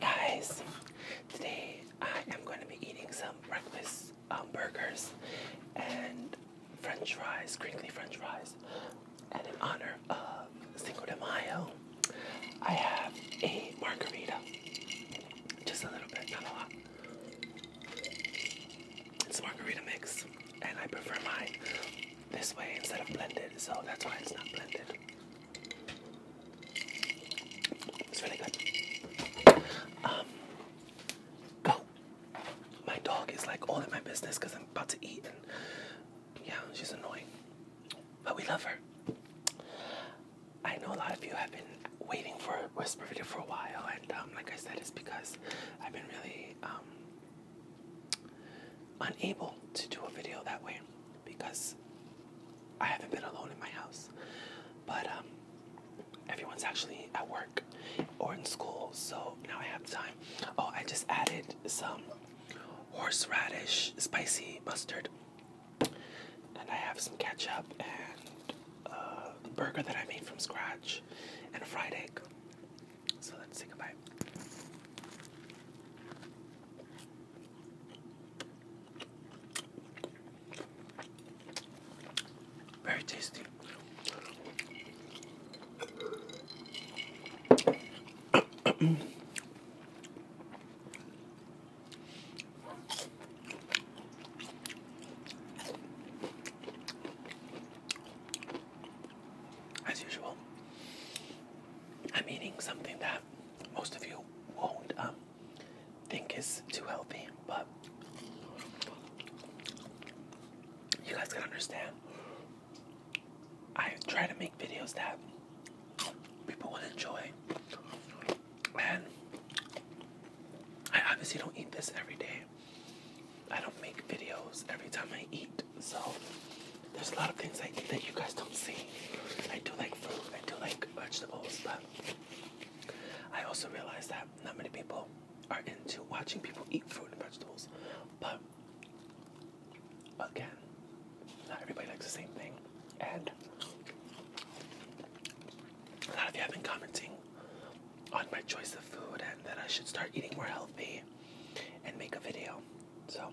Guys, today I am going to be eating some breakfast um, burgers and french fries, crinkly french fries. And in honor of Cinco de Mayo, I have a margarita. Just a little bit, not a lot. It's a margarita mix, and I prefer mine this way instead of blended, so that's why it's not blended. It's really good. Um, go. My dog is like all in my business because I'm about to eat, and yeah, she's annoying. But we love her. I know a lot of you have been waiting for a Whisper Video for a while, and um, like I said, it's because I've been really um, unable to do a video that way because I haven't been alone in my house, but um, everyone's actually at work or in school, so now I have time. Oh, I just added some horseradish spicy mustard, and I have some ketchup and a uh, burger that I made from scratch, and a fried egg. So let's take a bite. Very tasty. As usual, I'm eating something that most of you won't um, think it's too healthy, but you guys can understand. I try to make videos that people will enjoy, and I obviously don't eat this every day. I don't make videos every time I eat, so there's a lot of things that you guys don't see. I do like food. I do like vegetables, but I also realized that not many people are into watching people eat fruit and vegetables. But again, not everybody likes the same thing. And a lot of you have been commenting on my choice of food and that I should start eating more healthy and make a video. So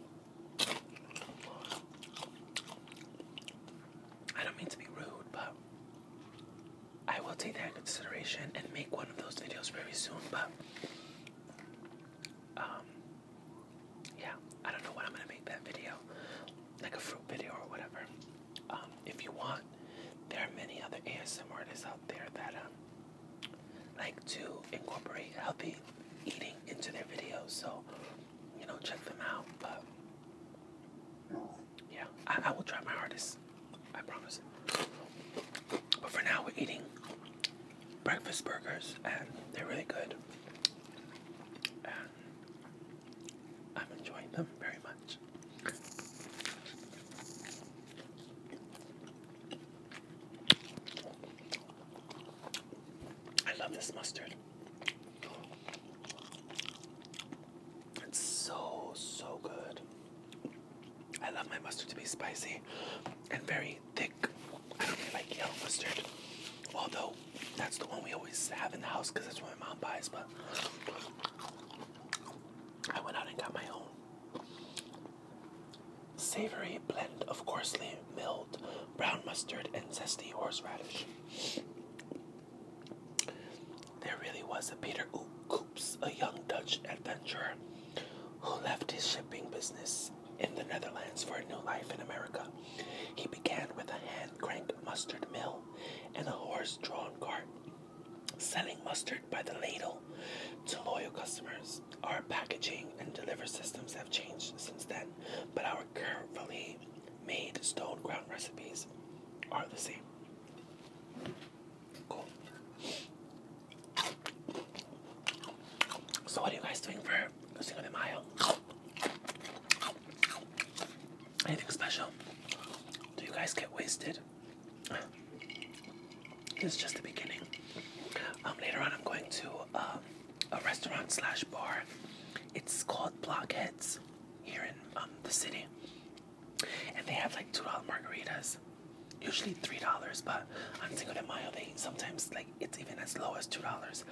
I don't mean to be rude, but I will take that in consideration and make one of those videos very soon. But um, yeah, I don't know when I'm gonna make that video, like a fruit video or whatever. Um, if you want, there are many other ASM artists out there that um like to incorporate healthy eating into their videos. So you know, check them out. But yeah, I, will try my hardest. I promise. But for now, we're eating breakfast burgers, and they're really good. I'm enjoying them very much. I love this mustard. It's so, so good. I love my mustard to be spicy and very thick. I don't really like yellow mustard. Although, that's the one we always have in the house because that's what my mom buys, but I went out and got my own. Savory blend of coarsely milled brown mustard, and zesty horseradish. There really was a Peter Coops, a young Dutch adventurer who left his shipping business in the Netherlands for a new life in America. He began with a hand crank mustard mill and a horse drawn cart, selling mustard by the ladle to loyal customers. Our packaging and delivery systems have changed since then, but our currently made stone ground recipes are the same. Cool. So, what are you guys doing for Cinco de Mayo? Anything special? Do you guys get wasted? This is just the beginning. Um, later on, I'm going to a restaurant slash bar. It's called Blockheads here in um, the city, and they have like two dollar margaritas, usually three dollars. But on Cinco de Mayo, they sometimes like it's even as low as two dollars,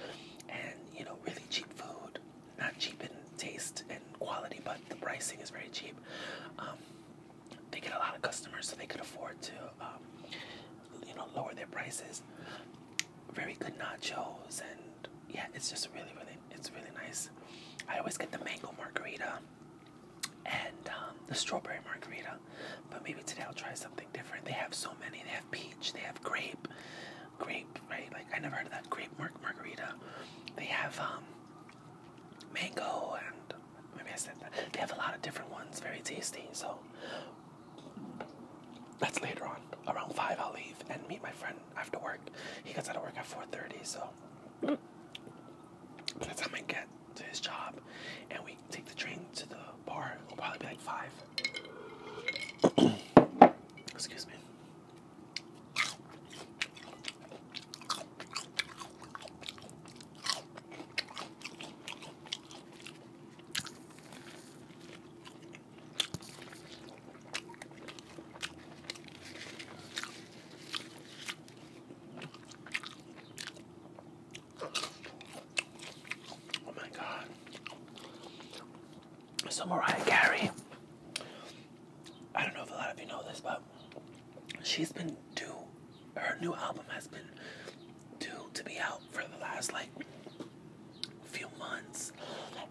and you know really cheap food. Not cheap in taste and quality, but the pricing is very cheap. Um, they get a lot of customers, so they could afford to, um, you know, lower their prices very good nachos and yeah it's just really really it's really nice i always get the mango margarita and um, the strawberry margarita but maybe today i'll try something different they have so many they have peach they have grape grape right like i never heard of that grape mar margarita they have um, mango and maybe i said that they have a lot of different ones very tasty so that's later on. Around five, I'll leave and meet my friend after work. He gets out of work at four thirty, so that's the time I get to his job, and we take the train to the bar, it'll probably be like five. Excuse me. Oh my God. So Mariah Carey, I don't know if a lot of you know this, but she's been due, her new album has been due to be out for the last like few months,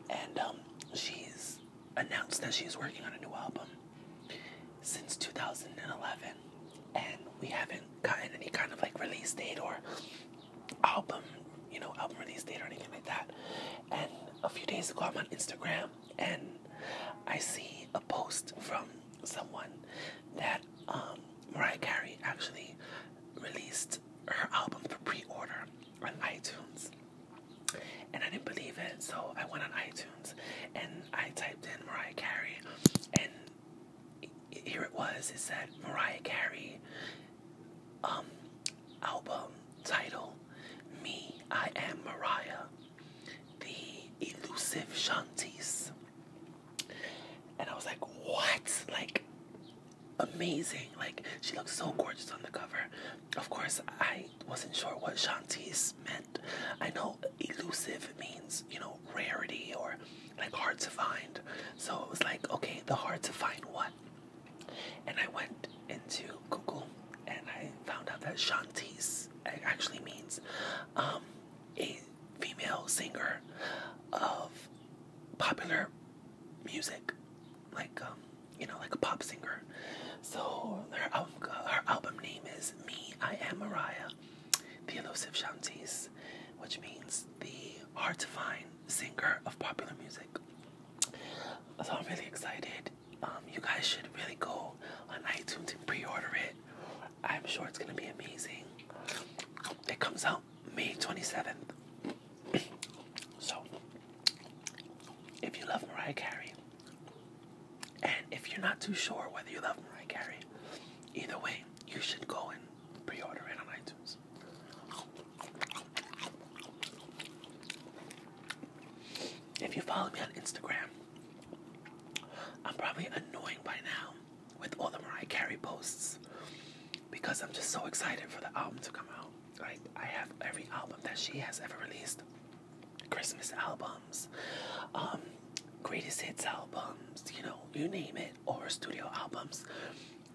and um, she's announced that she's working on a new album since 2011, and we haven't gotten any kind of like release date or album, you know, album release date or anything like that. And a few days ago, I'm on Instagram and I see a post from someone that um, Mariah Carey actually released her album for pre-order on iTunes. And I didn't believe it, so I went on iTunes and I typed in Mariah Carey, and here it was. It said Mariah Carey, um, album title, Me, I Am Mariah, The Elusive Shanties. And I was like, what? Like, amazing. Like she looks so gorgeous on the cover. Of course, I wasn't sure what Shantice meant. I know elusive means, you know, rarity or like hard to find. So it was like, okay, the hard to find what? And I went into Google and I found out that Shantice actually means um, a female singer of popular music, like um, you know, like a pop singer. So her album, her album name is "Me I Am Mariah," the elusive Shantice, which means the hard to find singer of popular music. So I'm really excited. Um, you guys should really go on iTunes and pre-order it. I'm sure it's gonna be amazing. It comes out May 27th. so, if you love Mariah Carey, and if you're not too sure whether you love Mariah Carey, either way, you should go and pre order it on iTunes. If you follow me on Instagram, I'm probably annoying by now with all the Mariah Carey posts because I'm just so excited for the album to come out. Like I have every album that she has ever released. Christmas albums, um, greatest hits albums, you know, you name it, or studio albums,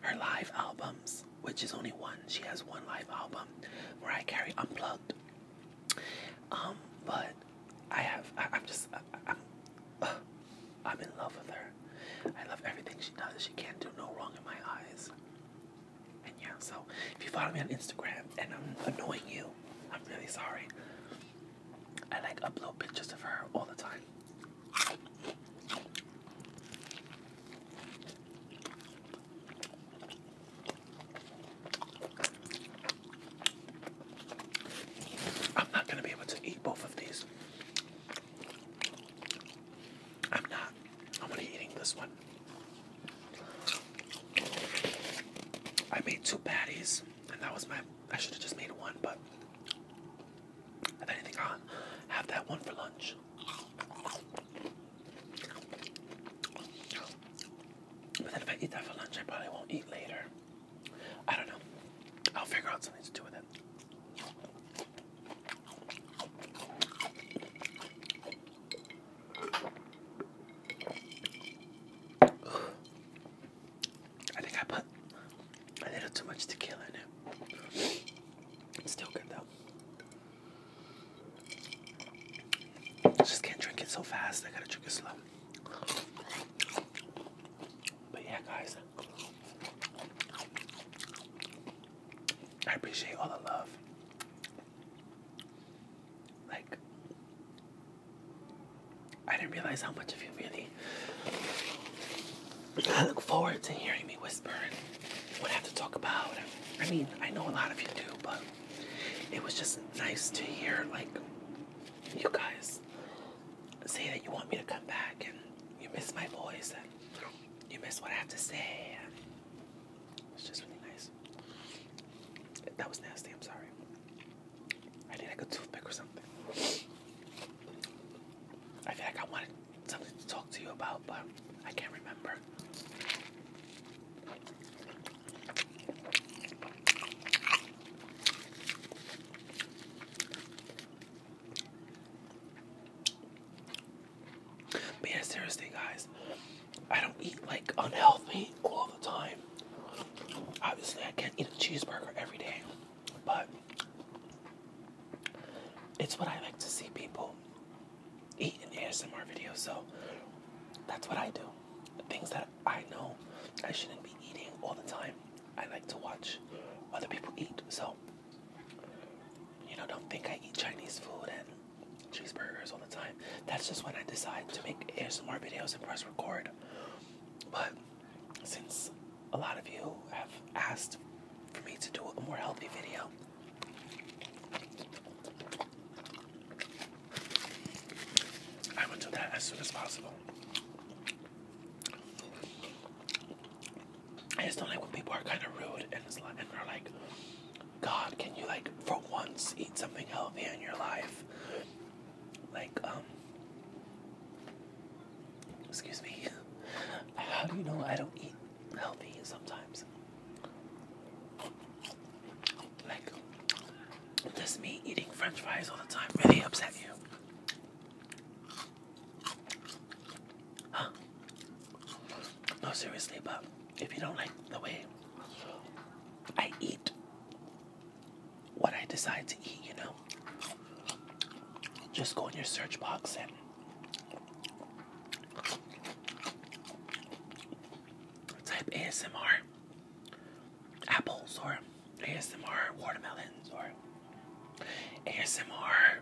her live albums, which is only one. She has one live album where I carry unplugged. Um, but I have, I, am just, I'm in love with her. I love everything she does. She can't do no wrong in my eyes. And yeah, so if you follow me on Instagram and I'm annoying you, I'm really sorry. I like upload pictures of her all the time. I'm not going to be able to eat both of these. I'm not. I'm only eating this one. I made two patties, and that was my. I should have just made one, but if anything, i have that one for lunch. But then if I eat that for lunch, I probably won't eat later. I don't know. I'll figure out something to do with it. I think I put a little too much tequila in it. It's still good though. just can't drink it so fast. I gotta drink it slow. But yeah, guys, I appreciate all the love. Like, I didn't realize how much of you really. I look forward to hearing me whisper what I have to talk about. I mean, I know a lot of you do, but it was just nice to hear, like, you guys say that you want me to come back and you miss my voice you miss what I have to say. It's just really nice. That was nasty, I'm sorry. I need like a toothpick or something. I feel like I wanted something to talk to you about, but I can't remember. But yeah, seriously, guys, I don't eat like unhealthy all the time. Obviously, I can't eat a cheeseburger every day, but it's what I like to see people eat in ASMR videos. So that's what I do. things that I know I shouldn't be eating all the time, I like to watch other people eat. So you know, don't think I eat Chinese food and cheeseburgers all the time. That's just when I decide to make more videos and press record. But since a lot of you have asked for me to do a more healthy video, I will do that as soon as possible. I just don't like when people are kind of rude and they're like, God, can you like for once eat something healthy in your life? Like, um, excuse me, how do you know I don't eat healthy sometimes? Like, does me eating French fries all the time really upset you? Huh? No, seriously, but if you don't like the way I eat, what I decide to eat, you know, just go in your search box and type ASMR apples or ASMR watermelons or ASMR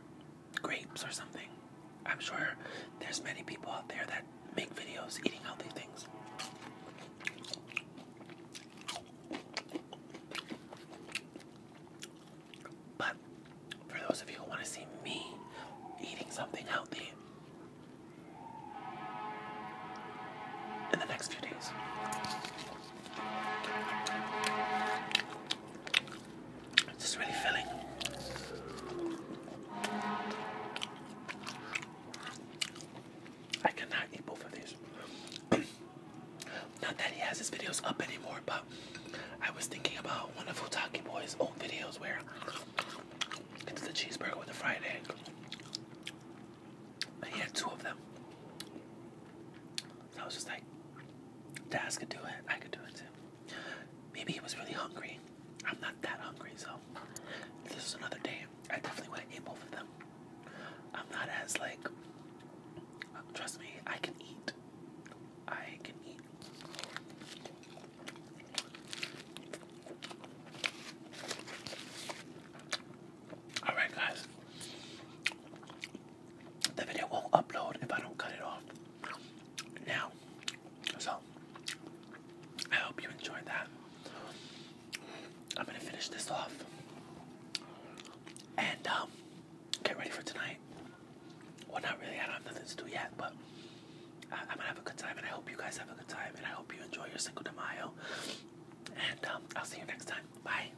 grapes or something. I'm sure there's many people out there that make videos eating healthy things. But for those of you who want to see me eating something healthy in the next few days, it's just really filling. I cannot eat both of these. Not that he has his videos up anymore, but I was thinking about one of Futaki Boy's old videos where it's the cheeseburger with the fried egg. He had two of them. I was just like, Daz could do it. I could do it too. Maybe he was really hungry. I'm not that hungry, so this is another day. I definitely want to eat both of them. I'm not as like, trust me, I can eat. I can eat. Alright, guys the video won't upload if I don't cut it off now. So I hope you enjoyed that. I'm gonna finish this off and um, get ready for tonight. Well, not really. I don't have nothing to do yet, but I am gonna have a good time, and I hope you guys have a good time, and I hope you enjoy your Cinco de Mayo. And um, I'll see you next time. Bye.